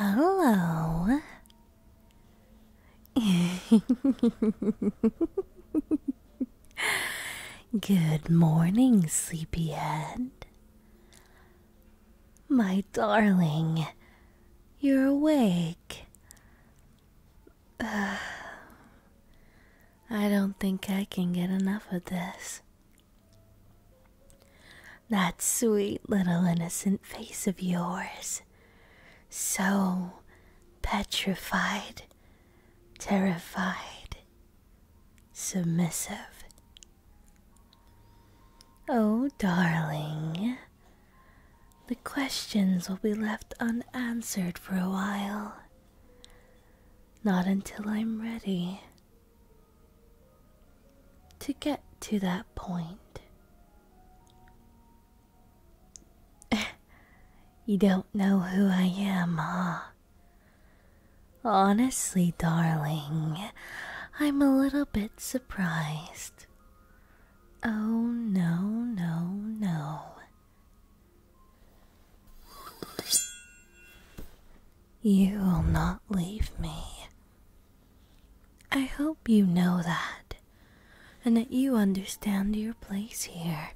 Hello. Good morning, sleepyhead. My darling, you're awake. I don't think I can get enough of this. That sweet little innocent face of yours. So petrified, terrified, submissive. Oh, darling, the questions will be left unanswered for a while. Not until I'm ready. To get to that point. you don't know who I am, huh? Honestly, darling, I'm a little bit surprised. Oh, no, no, no. You will not leave me. I hope you know that, and that you understand your place here.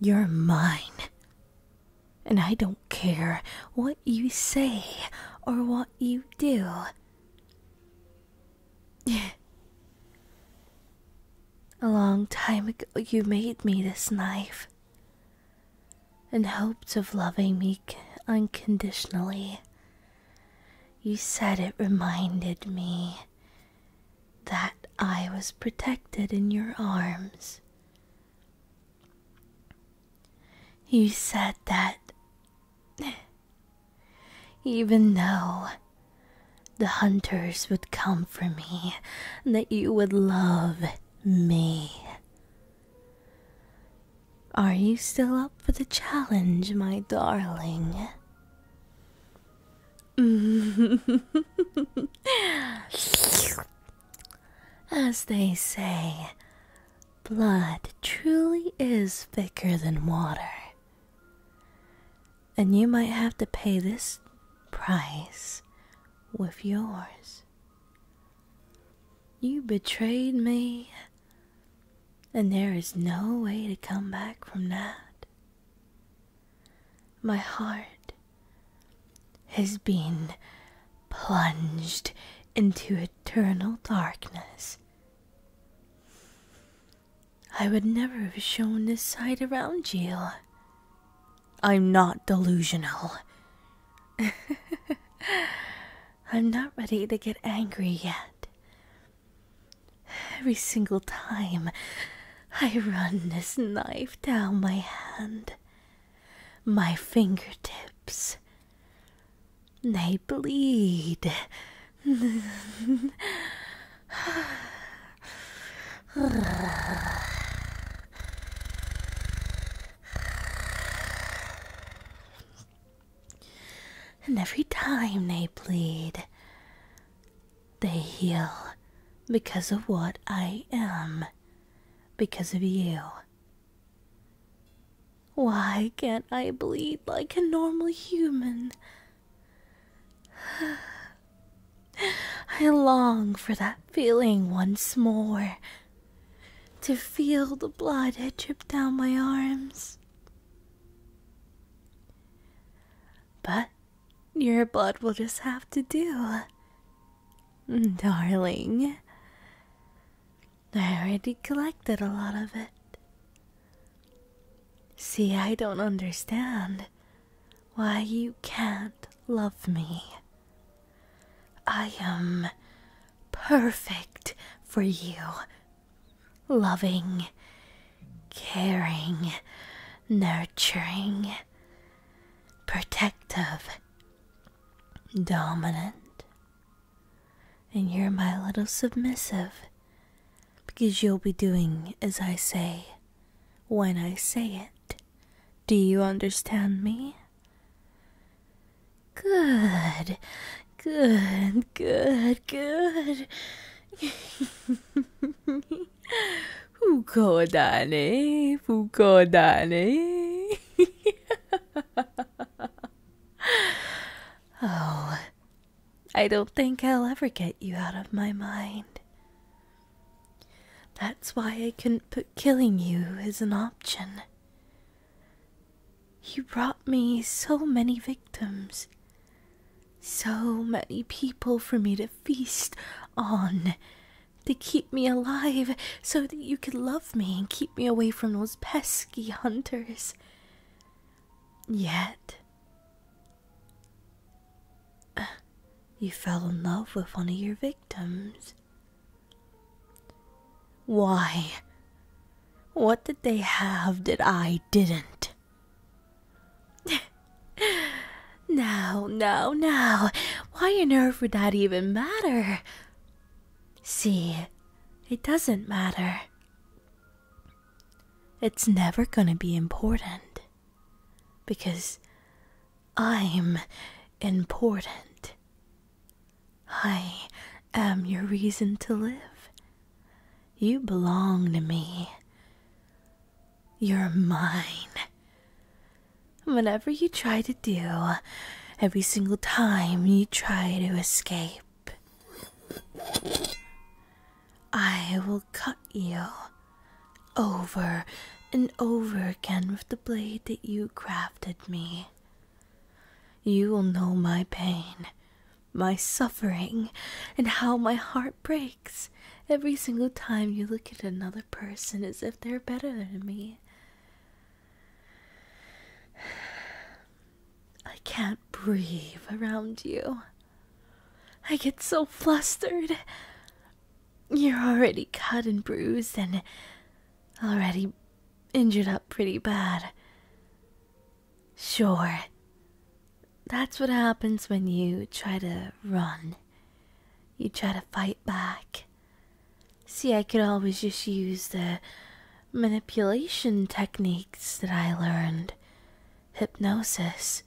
You're mine, and I don't care what you say or what you do. A long time ago, you made me this knife and hoped of loving me unconditionally. You said it reminded me that I was protected in your arms. You said that even though the hunters would come for me, that you would love me. Are you still up for the challenge, my darling? As they say, blood truly is thicker than water. And you might have to pay this price with yours. You betrayed me, and there is no way to come back from that. My heart has been plunged into eternal darkness. I would never have shown this side around you. I'm not delusional. I'm not ready to get angry yet. Every single time I run this knife down my hand, my fingertips, they bleed. And every time they bleed, they heal because of what I am, because of you. Why can't I bleed like a normal human? I long for that feeling once more. To feel the blood had dripped down my arms. But your blood will just have to do. Mm, darling, I already collected a lot of it. See, I don't understand why you can't love me. I am perfect for you. Loving, caring, nurturing, protective, dominant. And you're my little submissive because you'll be doing as I say when I say it. Do you understand me? Good, good, good, good. Oh, I don't think I'll ever get you out of my mind. That's why I couldn't put killing you as an option. You brought me so many victims, so many people for me to feast on, to keep me alive so that you could love me and keep me away from those pesky hunters. Yet, you fell in love with one of your victims. Why? What did they have that I didn't? now, now, now, why on earth would that even matter? See, it doesn't matter. It's never going to be important because I'm important. I am your reason to live. You belong to me. You're mine. Whatever you try to do, every single time you try to escape, I will cut you over and over again with the blade that you crafted me. You will know my pain, my suffering, and how my heart breaks every single time you look at another person as if they're better than me. I can't breathe around you. I get so flustered. You're already cut and bruised and already injured up pretty bad. Sure, that's what happens when you try to run. You try to fight back. See, I could always just use the manipulation techniques that I learned hypnosis.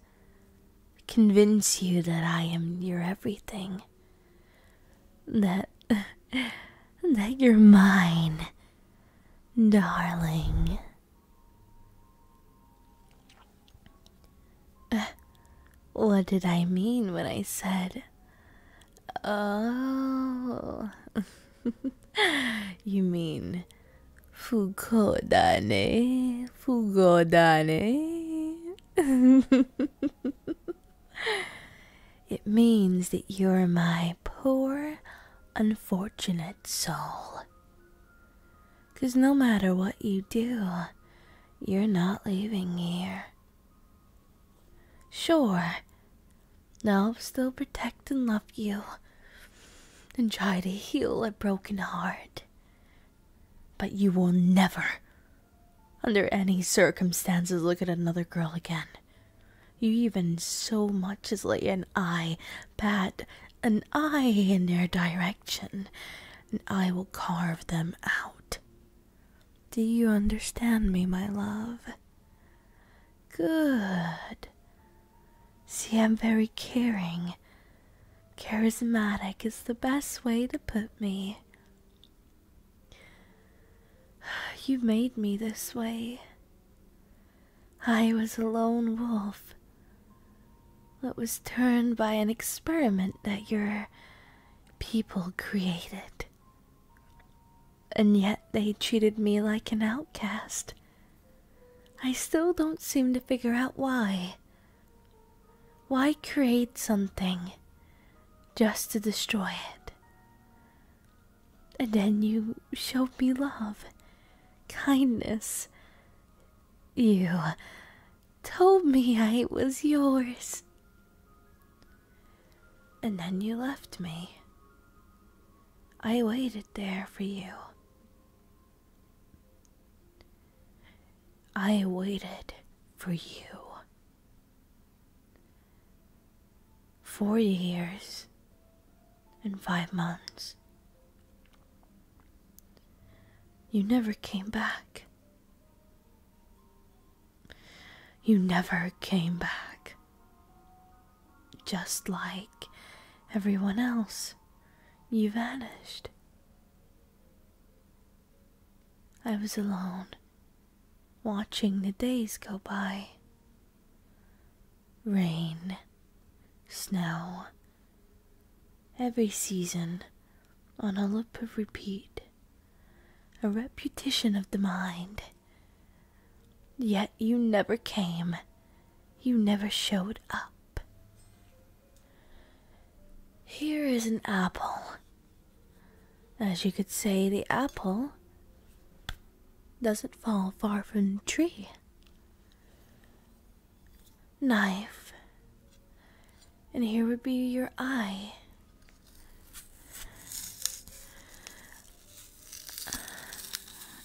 Convince you that I am your everything that that you're mine, darling. What did I mean when I said, "Oh"? you mean fugodane, fugodane? it means that you're my poor, unfortunate soul. Because no matter what you do, you're not leaving here. Sure, now I'll still protect and love you and try to heal a broken heart. But you will never under any circumstances, look at another girl again. You even so much as lay an eye, bat an eye in their direction, and I will carve them out. Do you understand me, my love? Good. See, I'm very caring. Charismatic is the best way to put me. You made me this way. I was a lone wolf that was turned by an experiment that your people created. And yet they treated me like an outcast. I still don't seem to figure out why. Why create something just to destroy it? And then you showed me love, kindness. You told me I was yours. And then you left me. I waited there for you. I waited for you. Four years and five months. You never came back. You never came back. Just like everyone else, you vanished. I was alone, watching the days go by. Rain, snow, every season on a loop of repeat, a repetition of the mind. Yet you never came, you never showed up. Here is an apple. As you could say, the apple doesn't fall far from the tree. Knife. And here would be your eye.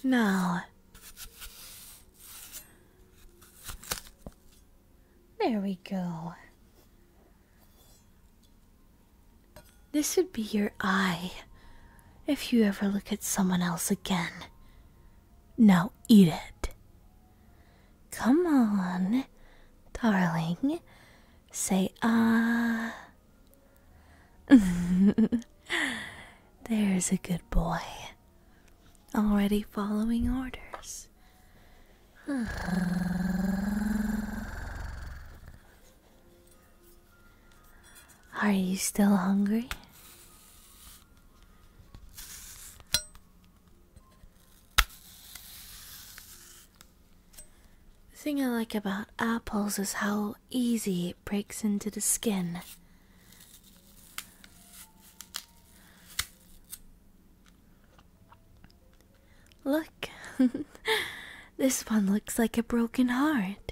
Now, there we go. This would be your eye if you ever look at someone else again. Now eat it. Come on, darling. Say ah. There's a good boy. Already following orders. Are you still hungry? The thing I like about apples is how easy it breaks into the skin. Look, this one looks like a broken heart.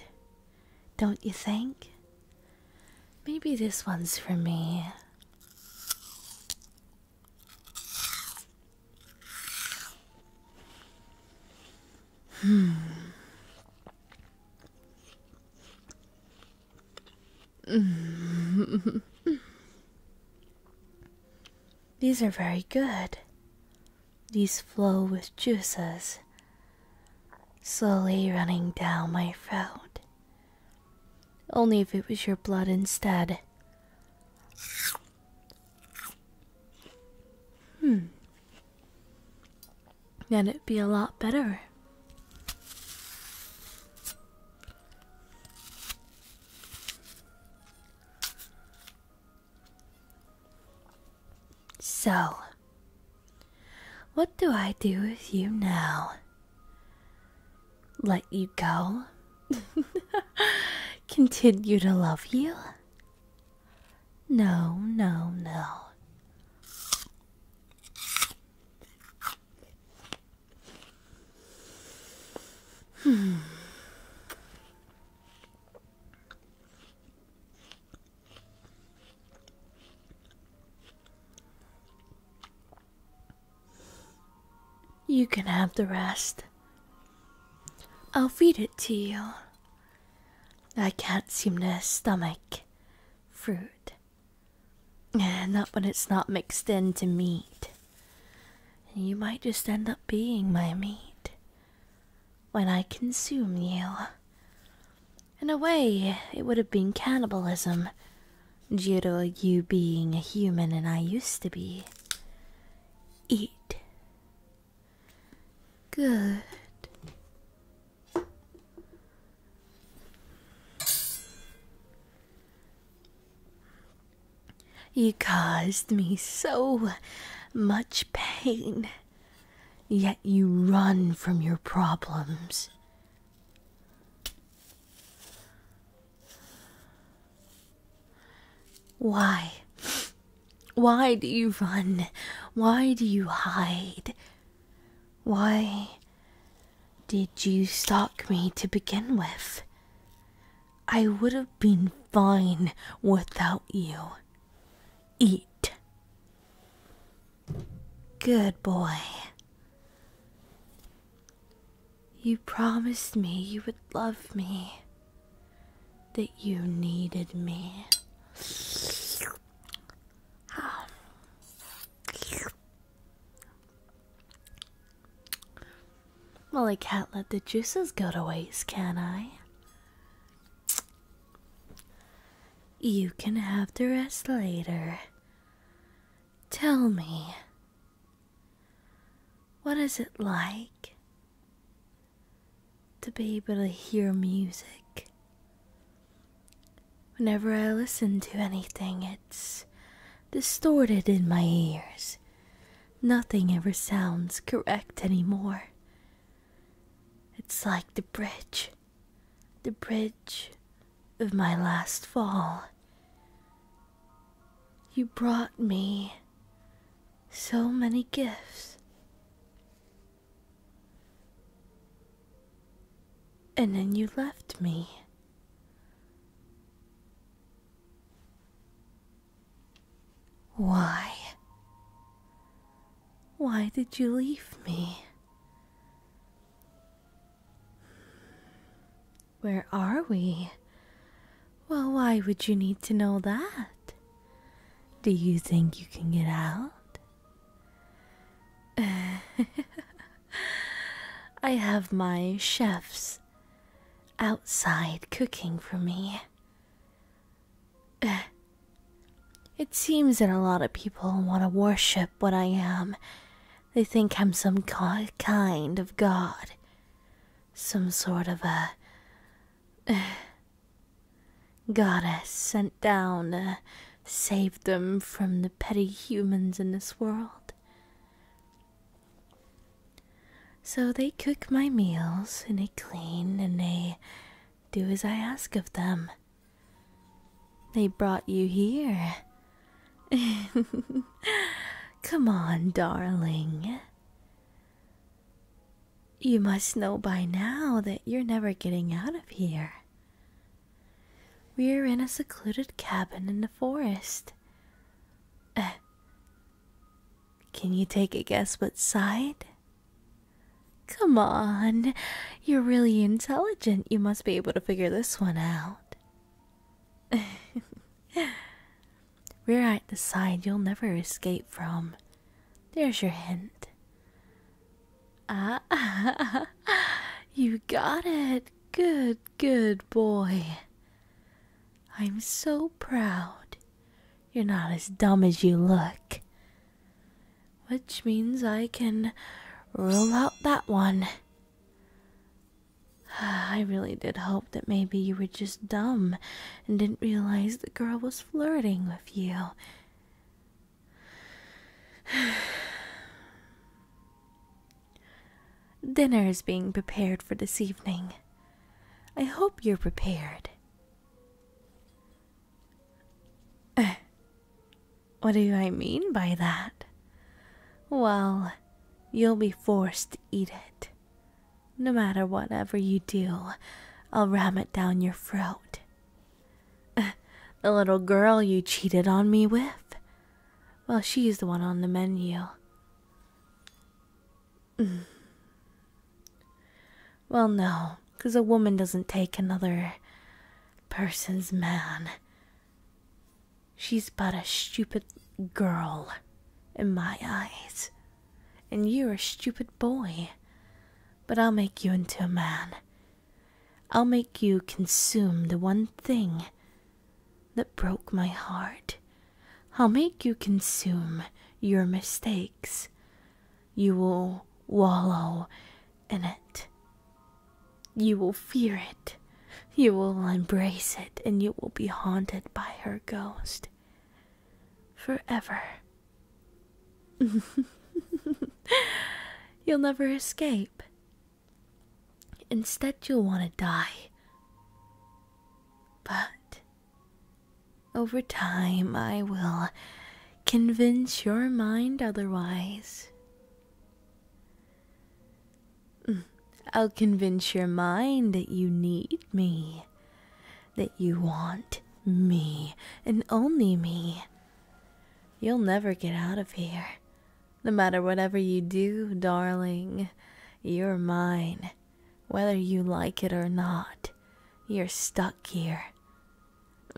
Don't you think? Maybe this one's for me. Hmm. These are very good. These flow with juices slowly running down my throat. Only if it was your blood instead. Hmm. Then it'd be a lot better. So, what do I do with you now? Let you go? Continue to love you? No, no, no. You can have the rest. I'll feed it to you. I can't seem to stomach fruit. Not when it's not mixed in to meat and you might just end up being my meat when I consume you. In a way, it would have been cannibalism due to you being a human and I used to be. Eat. Good. You caused me so much pain, yet you run from your problems. Why? Why do you run? Why do you hide? Why did you stalk me to begin with? I would have been fine without you. Eat. Good boy. You promised me you would love me, that you needed me. Well, I can't let the juices go to waste, can I? You can have the rest later. Tell me, what is it like to be able to hear music? Whenever I listen to anything, it's distorted in my ears. Nothing ever sounds correct anymore. It's like the bridge, the bridge of my last fall. You brought me so many gifts. And then you left me. Why? Why did you leave me? Where are we? Well, why would you need to know that? Do you think you can get out? I have my chef's outside cooking for me. Uh, it seems that a lot of people want to worship what I am. They think I'm some kind of god. Some sort of a uh, goddess sent down to save them from the petty humans in this world. So they cook my meals and they clean and they do as I ask of them. They brought you here. Come on, darling. You must know by now that you're never getting out of here. We're in a secluded cabin in the forest. Can you take a guess what side? Come on, you're really intelligent. You must be able to figure this one out. We're at the side you'll never escape from. There's your hint. Ah, you got it. Good, good boy. I'm so proud. You're not as dumb as you look. Which means I can rule out that one. I really did hope that maybe you were just dumb and didn't realize the girl was flirting with you. Dinner is being prepared for this evening. I hope you're prepared. Eh, what do I mean by that? Well, you'll be forced to eat it. No matter whatever you do, I'll ram it down your throat. Eh, the little girl you cheated on me with? Well, she's the one on the menu well, no, 'cause a woman doesn't take another person's man. She's but a stupid girl in my eyes, and you're a stupid boy. But I'll make you into a man. I'll make you consume the one thing that broke my heart I'll make you consume your mistakes. You will wallow in it. You will fear it. You will embrace it, and you will be haunted by her ghost forever. you'll never escape. Instead, you'll want to die. But over time, I will convince your mind otherwise. Mm, I'll convince your mind that you need me, that you want me, and only me. You'll never get out of here. No matter whatever you do, darling, you're mine. Whether you like it or not, you're stuck here.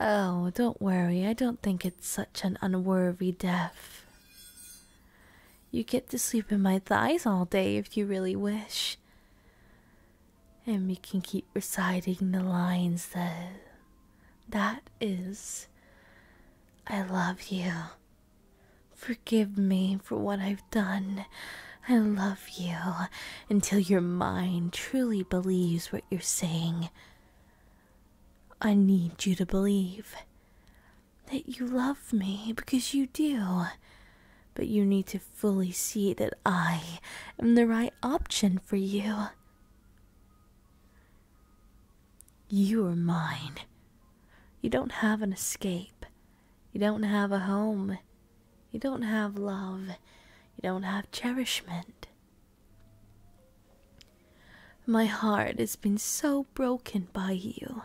oh, don't worry, I don't think it's such an unworthy death. You get to sleep in my thighs all day if you really wish. And we can keep reciting the lines that that is I love you. Forgive me for what I've done. I love you until your mind truly believes what you're saying. I need you to believe that you love me because you do. But you need to fully see that I am the right option for you. You are mine. You don't have an escape. You don't have a home. You don't have love. You don't have cherishment. My heart has been so broken by you.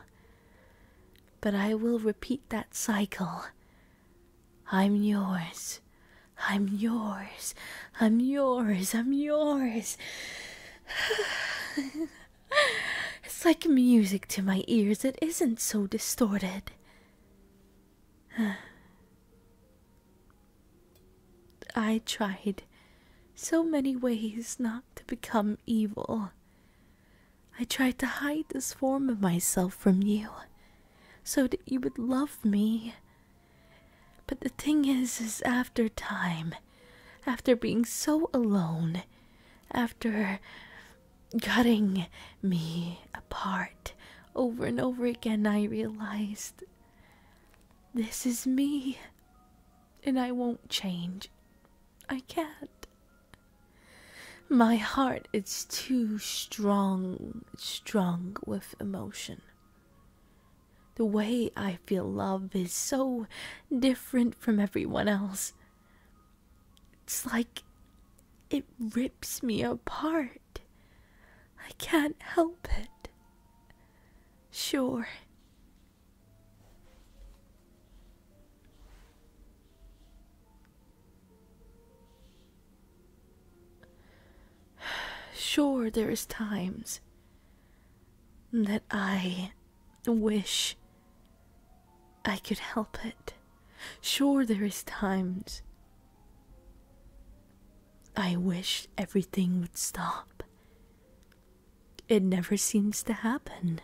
But I will repeat that cycle. I'm yours. I'm yours. I'm yours. I'm yours. It's like music to my ears, it isn't so distorted. I tried so many ways not to become evil. I tried to hide this form of myself from you so that you would love me. But the thing is, is after time, after being so alone, after cutting me apart over and over again, I realized this is me and I won't change. I can't. My heart is too strong, strong with emotion. The way I I feel love is so different from everyone else. It's like it rips me apart. I can't help it. Sure. Sure, there is times that I wish I could help it. Sure, there is times I wish everything would stop. It never seems to happen.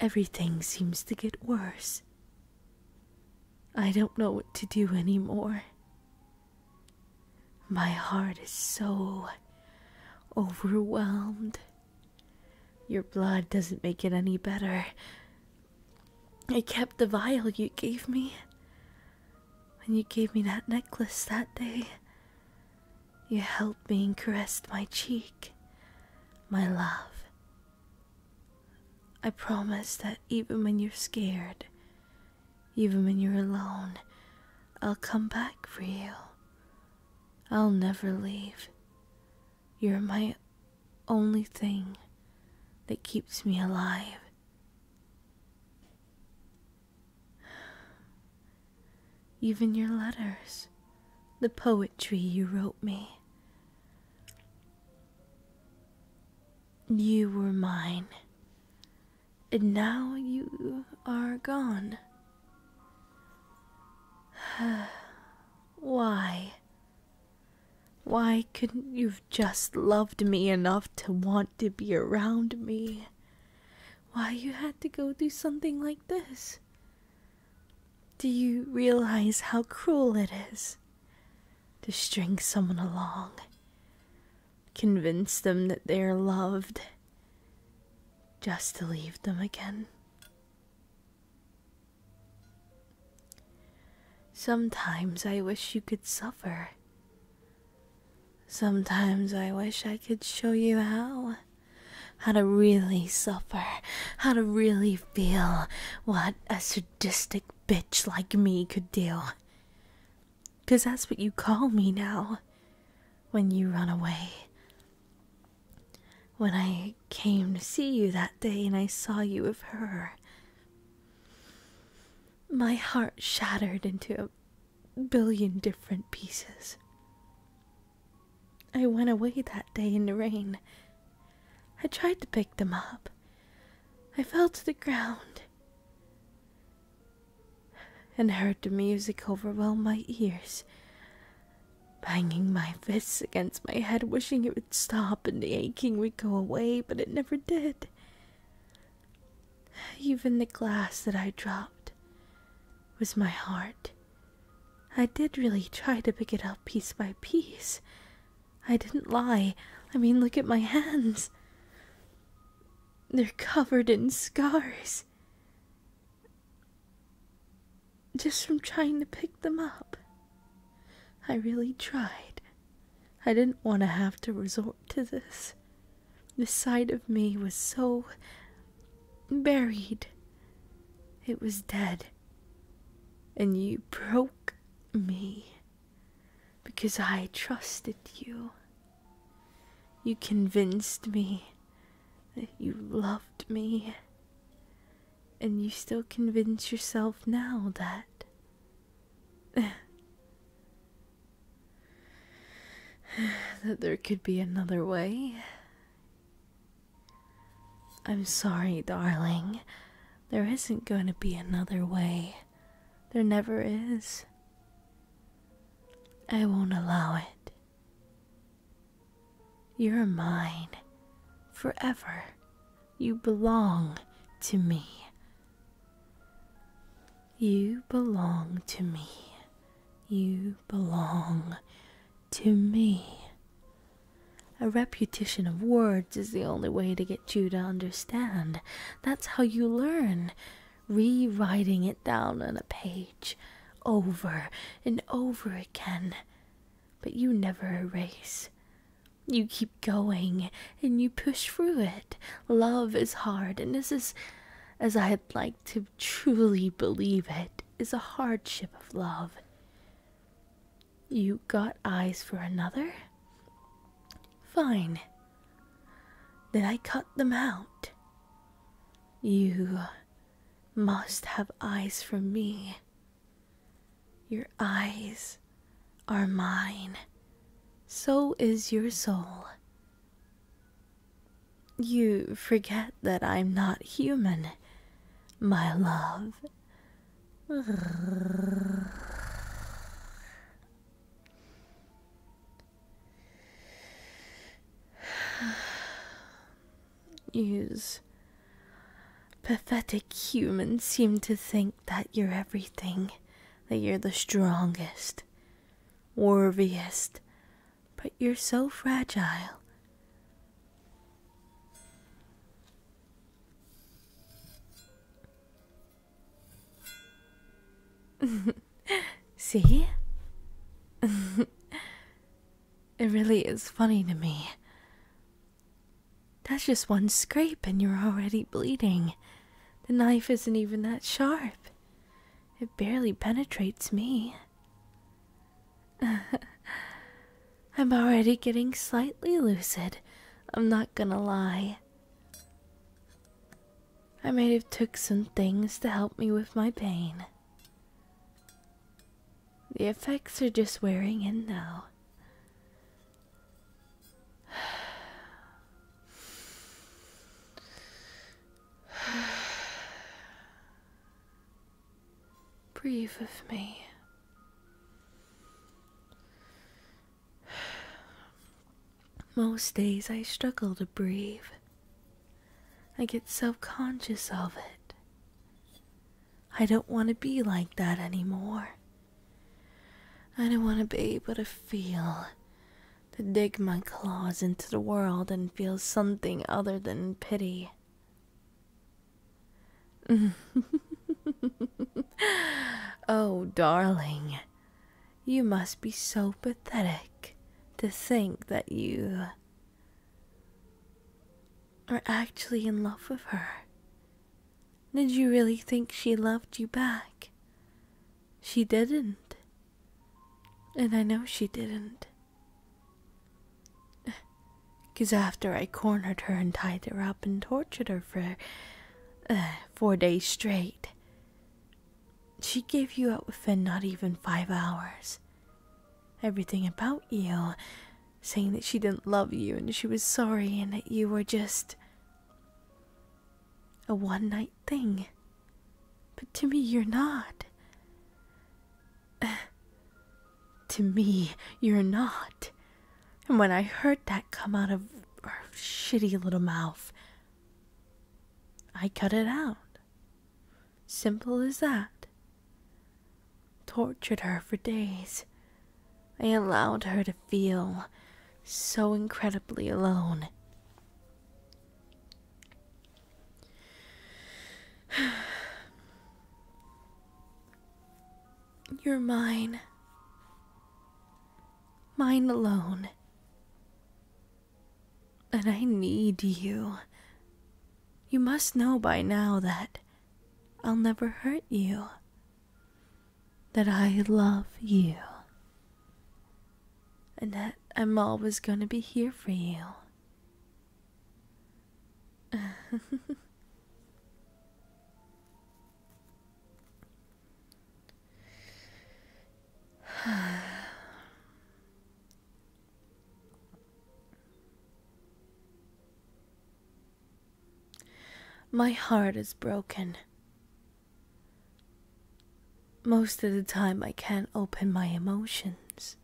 Everything seems to get worse. I don't know what to do anymore. My heart is so overwhelmed. Your blood doesn't make it any better. I kept the vial you gave me. When you gave me that necklace that day, you held me and caressed my cheek, my love. I promise that even when you're scared, even when you're alone, I'll come back for you. I'll never leave. You're my only thing that keeps me alive. Even your letters, the poetry you wrote me. You were mine and now you are gone. Why? Why couldn't you've just loved me enough to want to be around me? Why you had to go do something like this? Do you realize how cruel it is to string someone along? Convince them that they are loved just to leave them again. Sometimes I wish you could suffer. Sometimes I wish I could show you how. How to really suffer. How to really feel what a sadistic bitch like me could do. Because that's what you call me now when you run away. When I came to see you that day and I saw you with her, my heart shattered into a billion different pieces. I went away that day in the rain. I tried to pick them up. I fell to the ground and heard the music overwhelm my ears, banging my fists against my head, wishing it would stop and the aching would go away, but it never did. Even the glass that I dropped was my heart. I did really try to pick it up piece by piece. I didn't lie. I mean, look at my hands. They're covered in scars just from trying to pick them up. I really tried. I didn't want to have to resort to this. The side of me was so buried. It was dead. And you broke me because I trusted you. You convinced me that you loved me, and you still convince yourself now that. that there could be another way. I'm sorry, darling. There isn't going to be another way. There never is. I won't allow it. You're mine forever. You belong to me. You belong to me. You belong to me. A repetition of words is the only way to get you to understand. That's how you learn rewriting it down on a page over and over again. But you never erase. You keep going and you push through it. Love is hard, and this as I'd like to truly believe it, is a hardship of love. You got eyes for another? Fine. Then I cut them out. You must have eyes for me. Your eyes are mine, so is your soul. You forget that I'm not human, my love. Yous pathetic humans seem to think that you're everything, that you're the strongest, worthiest, but you're so fragile. See? it really is funny to me. That's just one scrape and you're already bleeding. The knife isn't even that sharp. It barely penetrates me. I'm already getting slightly lucid. I'm not gonna lie. I might have took some things to help me with my pain. The effects are just wearing in now. Breathe with me. Most days I struggle to breathe. I get self conscious of it. I don't want to be like that anymore. I don't want to be able to feel, to dig my claws into the world and feel something other than pity. oh, darling, you must be so pathetic to think that you are actually in love with her. Did you really think she loved you back? She didn't. And I know she didn't. Because after I cornered her and tied her up and tortured her for uh, four days straight, she gave you up within not even five hours everything about you, saying that she didn't love you and she was sorry and that you were just a one night thing. But to me, you're not. to me, you're not. And when I heard that come out of her shitty little mouth, I cut it out. Simple as that. Tortured her for days. I allowed her to feel so incredibly alone. You're mine. Mine alone. But I need you. You must know by now that I'll never hurt you. That I love you. And that I'm always going to be here for you. My heart is broken. Most of the time, I can't open my emotions.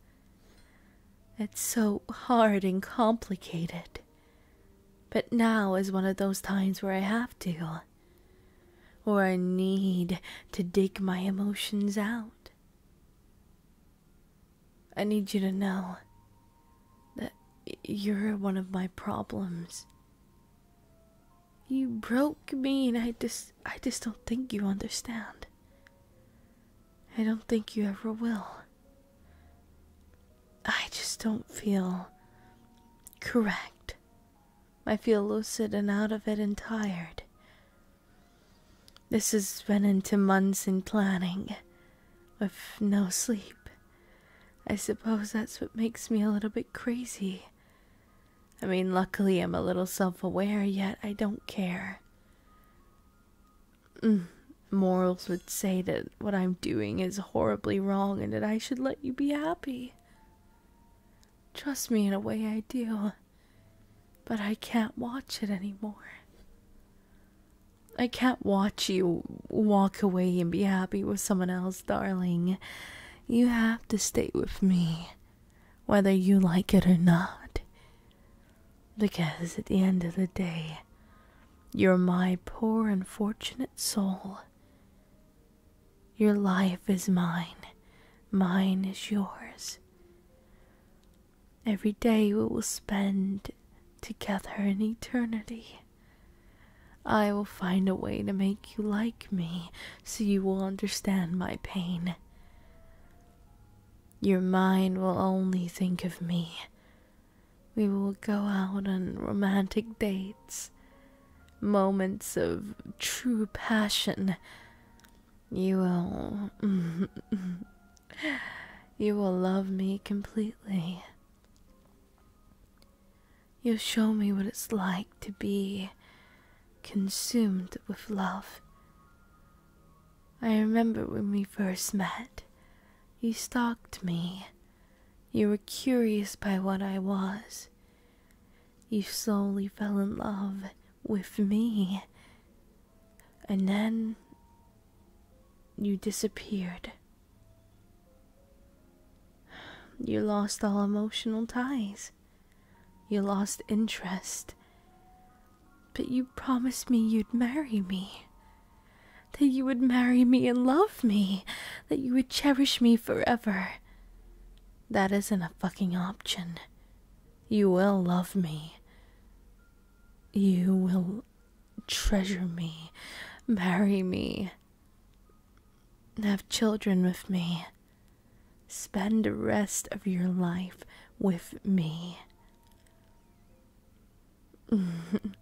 It's so hard and complicated. But now is one of those times where I have to, or I need to dig my emotions out. I need you to know that you're one of my problems. You broke me and I just I just don't think you understand. I don't think you ever will. I just don't feel correct. I feel lucid and out of it and tired. This has been into months in planning, with no sleep. I suppose that's what makes me a little bit crazy. I mean, luckily I'm a little self aware, yet I don't care. Mm, morals would say that what I'm doing is horribly wrong and that I should let you be happy. Trust me, in a way, I do. But I can't watch it anymore. I can't watch you walk away and be happy with someone else, darling. You have to stay with me, whether you like it or not. Because at the end of the day, you're my poor, unfortunate soul. Your life is mine, mine is yours. Every day we will spend together in eternity. I will find a way to make you like me so you will understand my pain. Your mind will only think of me. We will go out on romantic dates, moments of true passion. You will. you will love me completely. You'll show me what it's like to be consumed with love. I remember when we first met. You stalked me. You were curious by what I was. You slowly fell in love with me. And then you disappeared. You lost all emotional ties. You lost interest. But you promised me you'd marry me. That you would marry me and love me. That you would cherish me forever. That isn't a fucking option. You will love me. You will treasure me, marry me, have children with me, spend the rest of your life with me. In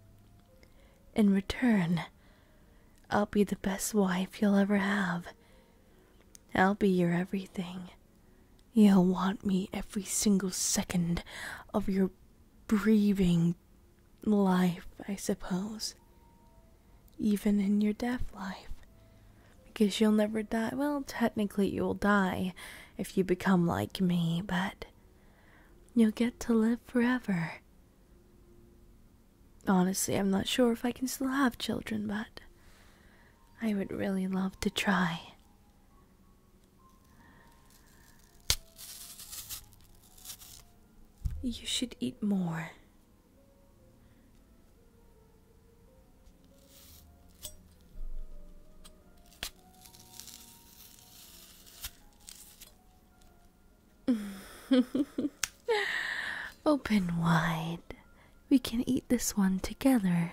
return, I'll be the best wife you'll ever have. I'll be your everything. You'll want me every single second of your breathing life, I suppose. Even in your death life. Because you'll never die. Well, technically, you'll die if you become like me, but you'll get to live forever. Honestly, I'm not sure if I can still have children, but I would really love to try. You should eat more. Open wide. We can eat this one together.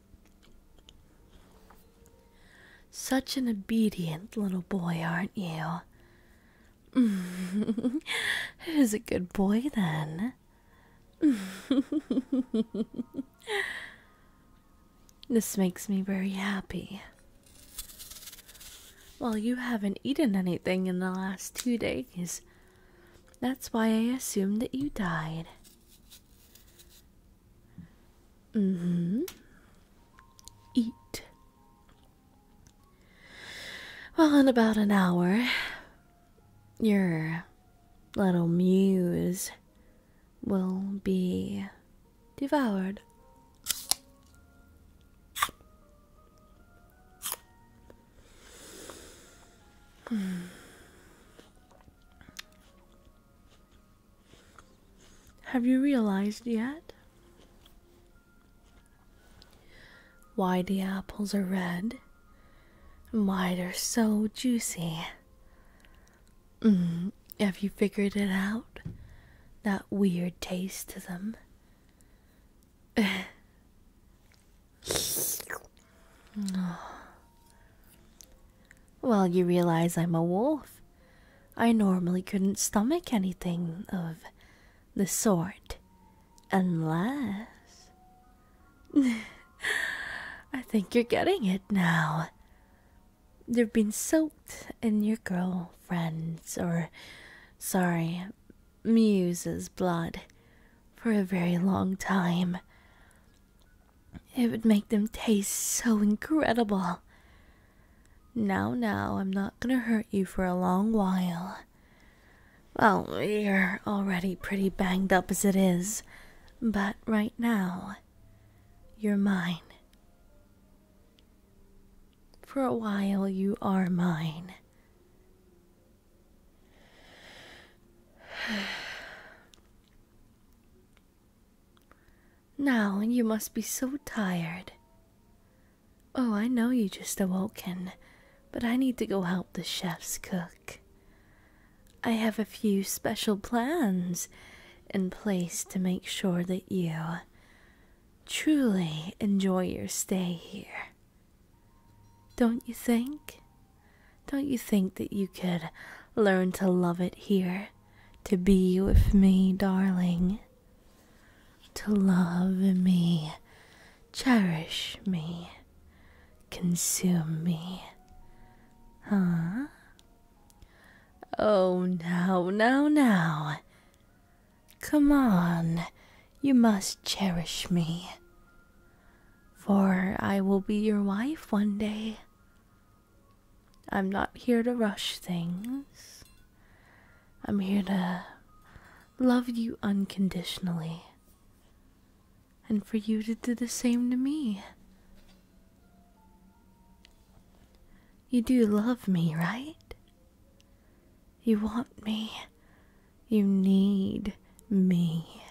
Such an obedient little boy, aren't you? Who's a good boy then? this makes me very happy. Well, you haven't eaten anything in the last two days. That's why I assumed that you died. Mm hmm. Eat. Well, in about an hour, your little muse will be devoured. Have you realized yet why the apples are red? Why they're so juicy? Mm, have you figured it out? That weird taste to them. oh. Well, you realize I'm a wolf. I normally couldn't stomach anything of the sort. Unless. I think you're getting it now. You've been soaked in your girlfriend's, or sorry, muse's blood for a very long time. It would make them taste so incredible. Now, now, I'm not gonna hurt you for a long while. Well, you're already pretty banged up as it is, but right now, you're mine. For a while, you are mine. Now you must be so tired. Oh, I know you just awoken, but I need to go help the chefs cook. I have a few special plans in place to make sure that you truly enjoy your stay here. Don't you think? Don't you think that you could learn to love it here to be with me, darling, to love me, cherish me, consume me. Huh? Oh, now, now, now. Come on, you must cherish me, for I will be your wife one day. I'm not here to rush things. I'm here to love you unconditionally and for you to do the same to me. You do love me, right? You want me. You need me.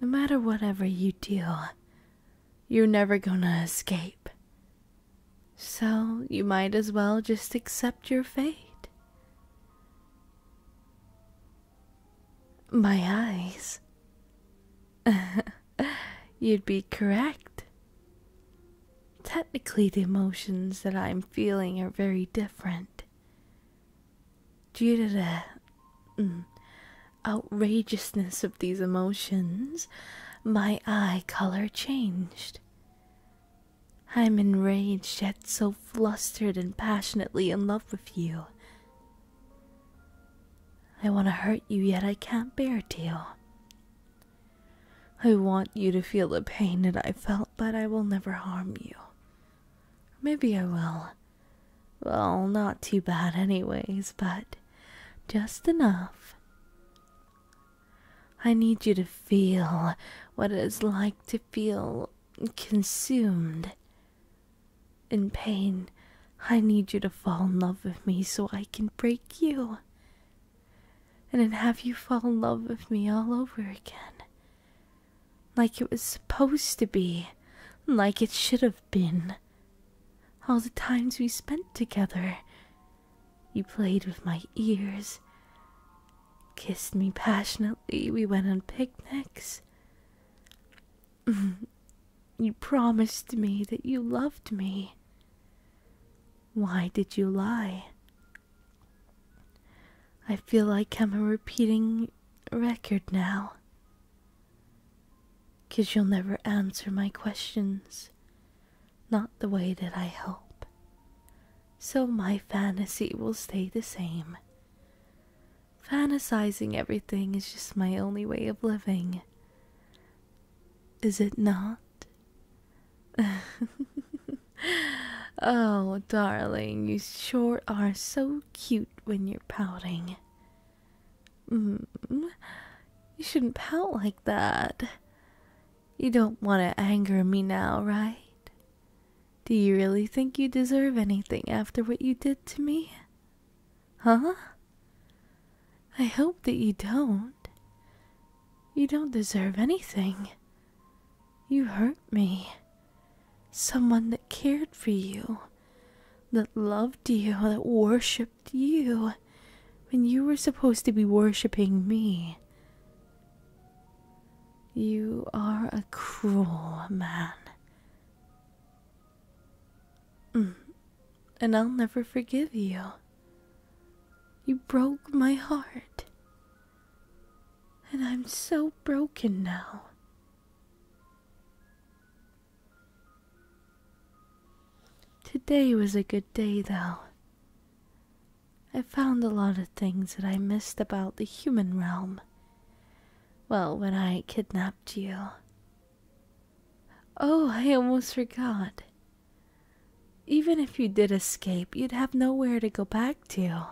No matter whatever you do, you're never gonna escape. So you might as well just accept your fate. My eyes. You'd be correct. Technically, the emotions that I'm feeling are very different. Due to the mm, outrageousness of these emotions, my eye color changed. I'm enraged, yet so flustered and passionately in love with you. I want to hurt you, yet I can't bear to. I want you to feel the pain that I felt, but I will never harm you. Maybe I will. Well, not too bad, anyways, but just enough. I need you to feel what it is like to feel consumed in pain. I need you to fall in love with me so I can break you. And then have you fall in love with me all over again. Like it was supposed to be. Like it should have been all the times we spent together. You played with my ears, kissed me passionately, we went on picnics. you promised me that you loved me. Why did you lie? I feel like I'm a repeating record now. Cause you'll never answer my questions, not the way that I hope. So my fantasy will stay the same. Fantasizing everything is just my only way of living. Is it not? oh, darling, you sure are so cute when you're pouting. Mm, you shouldn't pout like that. You don't want to anger me now, right? Do you really think you deserve anything after what you did to me? Huh? I hope that you don't. You don't deserve anything. You hurt me. Someone that cared for you, that loved you, that worshipped you when you were supposed to be worshipping me. You are a cruel man. Mm. And I'll never forgive you. You broke my heart. And I'm so broken now. Today was a good day, though. I found a lot of things that I missed about the human realm. Well, when I kidnapped you. Oh, I almost forgot. Even if you did escape, you'd have nowhere to go back to.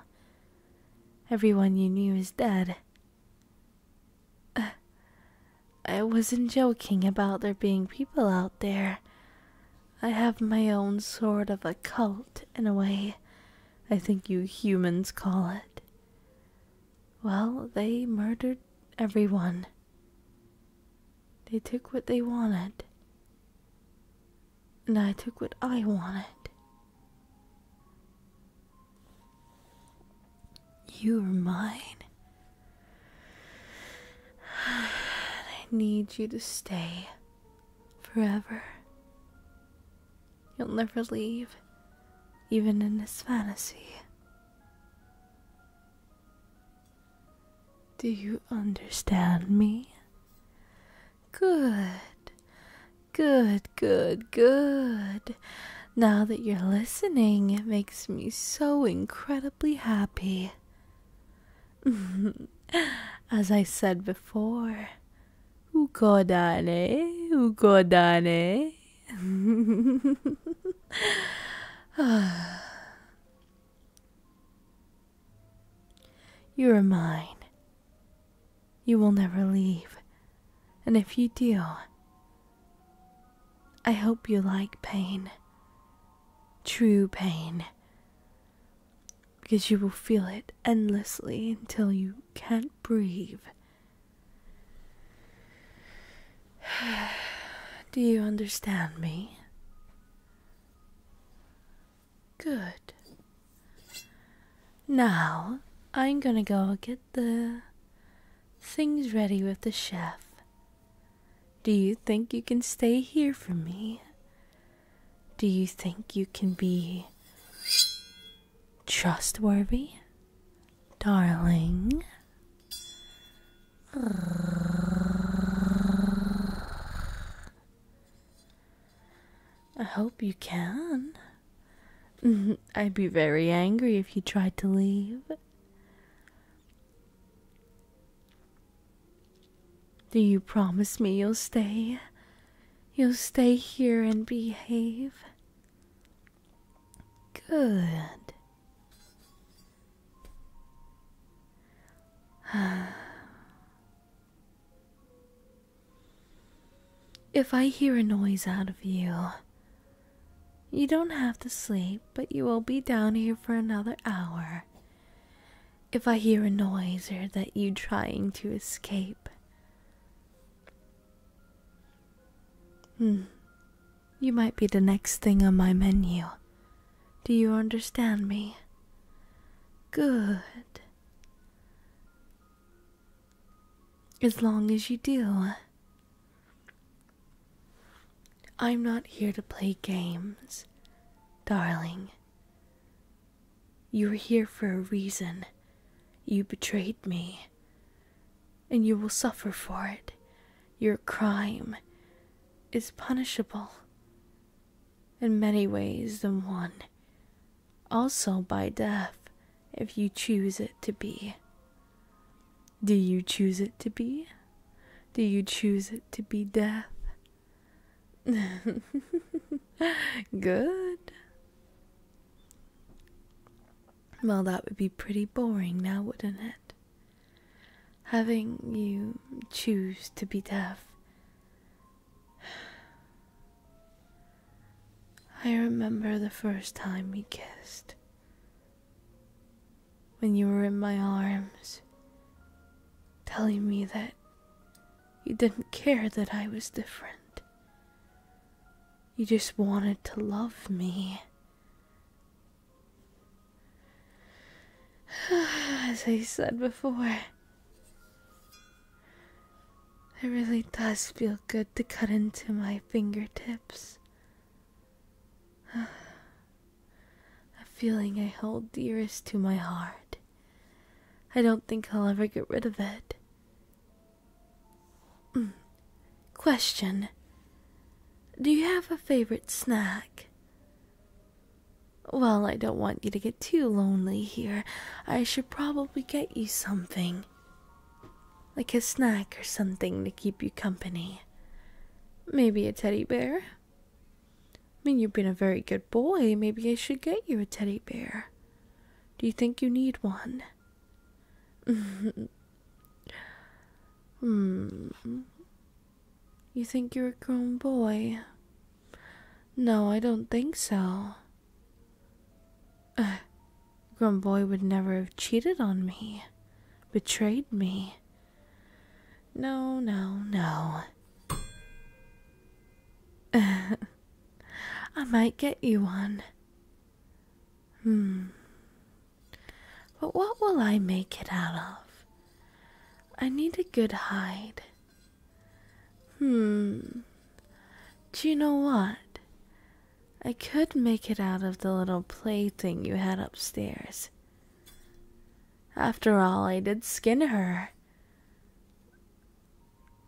Everyone you knew is dead, I wasn't joking about there being people out there. I have my own sort of a cult, in a way, I think you humans call it. Well, they murdered everyone. They took what they wanted. And I took what I wanted. You are mine. I need you to stay forever. You'll never leave, even in this fantasy. Do you understand me? Good, good, good, good. Now that you're listening, it makes me so incredibly happy. As I said before, ukodane, ukodane. you are mine. You will never leave. And if you do, I hope you like pain, true pain, because you will feel it endlessly until you can't breathe. Do you understand me? Good. Now I'm gonna go get the things ready with the chef. Do you think you can stay here for me? Do you think you can be trustworthy? Darling. I hope you can. I'd be very angry if you tried to leave. Do you promise me you'll stay? You'll stay here and behave? Good. If I hear a noise out of you, you don't have to sleep, but you will be down here for another hour. If I hear a noise or that you are trying to escape. Hmm. You might be the next thing on my menu. Do you understand me? Good. As long as you do, I'm not here to play games, darling. You're here for a reason. You betrayed me. And you will suffer for it. Your crime is punishable in many ways than one, also by death, if you choose it to be. Do you choose it to be? Do you choose it to be death? Good. Well, that would be pretty boring now, wouldn't it? Having you choose to be deaf. I remember the first time we kissed when you were in my arms, telling me that you didn't care that I was different. You just wanted to love me. As I said before, it really does feel good to cut into my fingertips a feeling I hold dearest to my heart. I don't think I'll ever get rid of it. Mm. Question Do you have a favorite snack? Well, I don't want you to get too lonely here. I should probably get you something like a snack or something to keep you company. Maybe a teddy bear. I mean, you've been a very good boy. Maybe I should get you a teddy bear. Do you think you need one? hmm. You think you're a grown boy? No, I don't think so. A grown boy would never have cheated on me betrayed me. No, no, no. I might get you one. Hmm. But what will I make it out of? I need a good hide. Hmm. Do you know what? I could make it out of the little plaything you had upstairs. After all, I did skin her.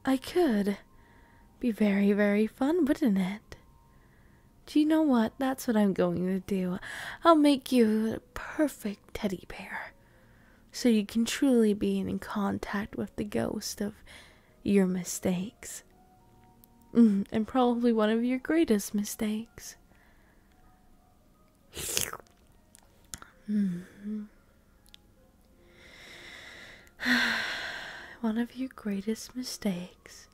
I could. Be very, very fun, wouldn't it? Do you know what? That's what I'm going to do. I'll make you a perfect teddy bear. So you can truly be in contact with the ghost of your mistakes. Mm, and probably one of your greatest mistakes. Mm-hmm. one of your greatest mistakes.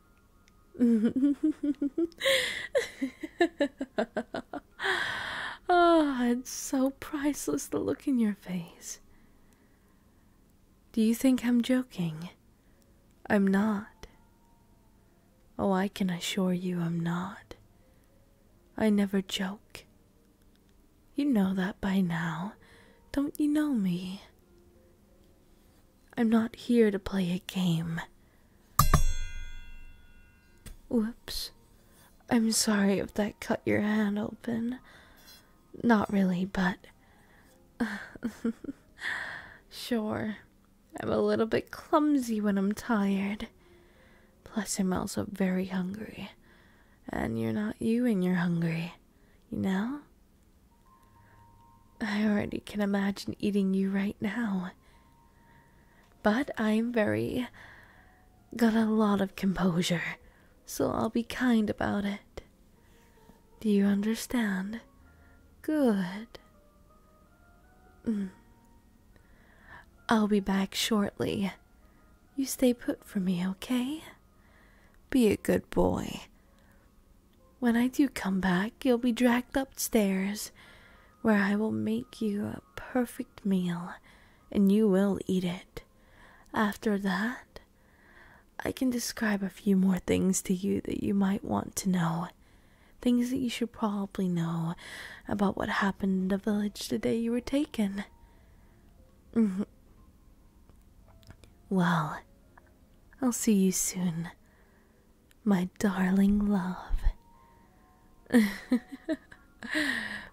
oh, it's so priceless the look in your face. Do you think I'm joking? I'm not. Oh, I can assure you I'm not. I never joke. You know that by now. Don't you know me? I'm not here to play a game. Whoops. I'm sorry if that cut your hand open. Not really, but. sure. I'm a little bit clumsy when I'm tired. Plus, I'm also very hungry. And you're not you when you're hungry, you know? I already can imagine eating you right now. But I'm very. got a lot of composure, so I'll be kind about it. Do you understand? Good. Mm. I'll be back shortly. You stay put for me, okay? Be a good boy. When I do come back, you'll be dragged upstairs, where I will make you a perfect meal, and you will eat it. After that, I can describe a few more things to you that you might want to know. Things that you should probably know about what happened in the village the day you were taken. Mm-hmm. well, I'll see you soon, my darling love.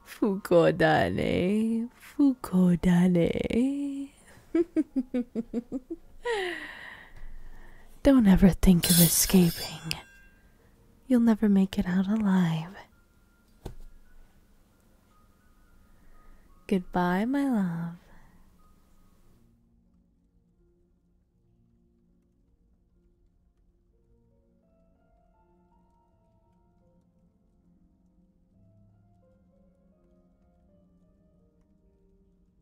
Fukodane, Fukodane. Don't ever think of escaping. You'll never make it out alive. Goodbye, my love.